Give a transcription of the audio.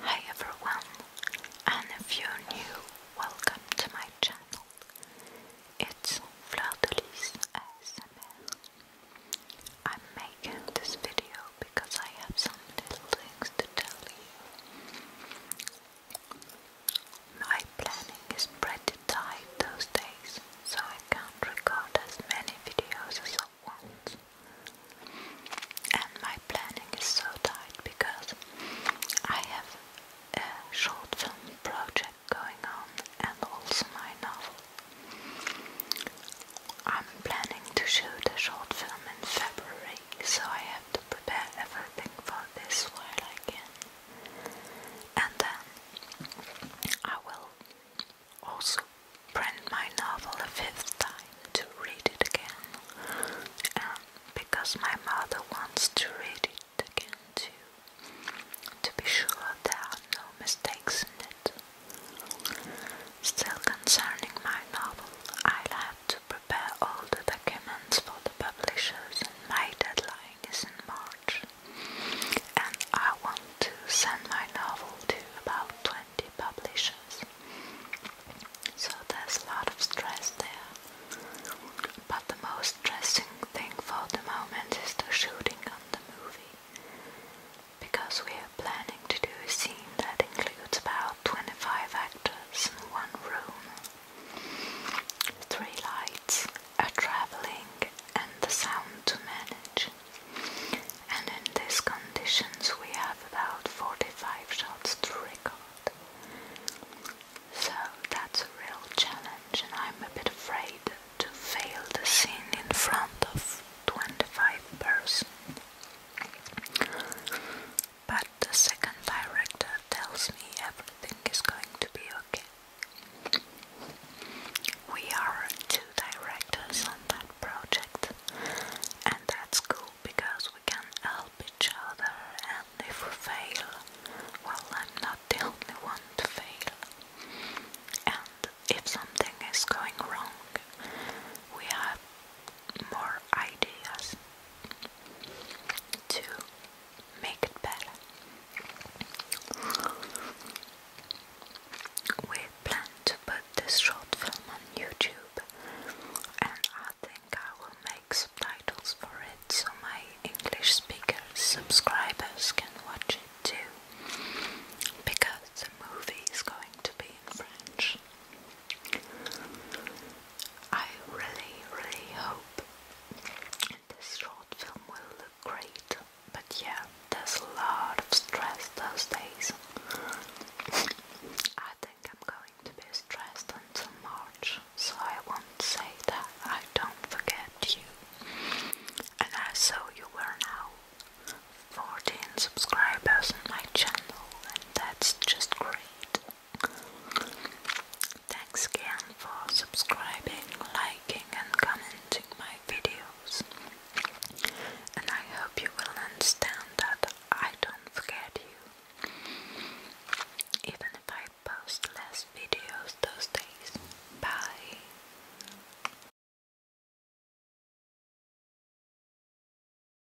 Hi everyone, and if you're new, welcome to my channel. It's Fleur de Lis I'm making this video because I have some little things to tell you. My planning is pretty tight those days, so I can't record as many videos as I want. And my planning is so tight because I have a short film project going on and also my novel. I'm planning to shoot a short film in February, so I have to prepare everything for this while I can and then I will also print my novel a fifth time to read it again, and um, because my mother wants to read it again too, to be sure there are no mistakes in it. Still concerning my novel, I'll have to prepare all the documents for the publishers and my deadline is in March and I want to send my novel to about 20 publishers. So there's a lot of stress there. But the most stressing thing for the moment is the shooting on the movie. Because we are planning to do a scene that includes about 25 actors in one room. Three lights are traveling and the sound to manage. And in these conditions we have about 45 shots to record. So that's a real challenge and I'm a bit afraid to fail the scene in front of 25 persons. But the second director tells me everything is going to be okay. We are two directors on that project, and that's cool because we can help each other. And if we fail, well, I'm not the only one to fail. And if something is going wrong, we have more ideas to make it better. We plan to put this short film on YouTube, and I think I will make subtitles for it so my English speaker subscribers can watch it too, because the movie is going to be in French. I really, really hope this short film will look great, but yeah, there's a lot of stress those days. I think I'm going to be stressed until March, so I won't say that I don't forget you. And I saw you were now 14 subscribers on my channel, and that's just great. Thanks again for subscribing, liking and commenting my videos. And I hope you will understand that I don't forget you. Even if I post less videos those days. Bye.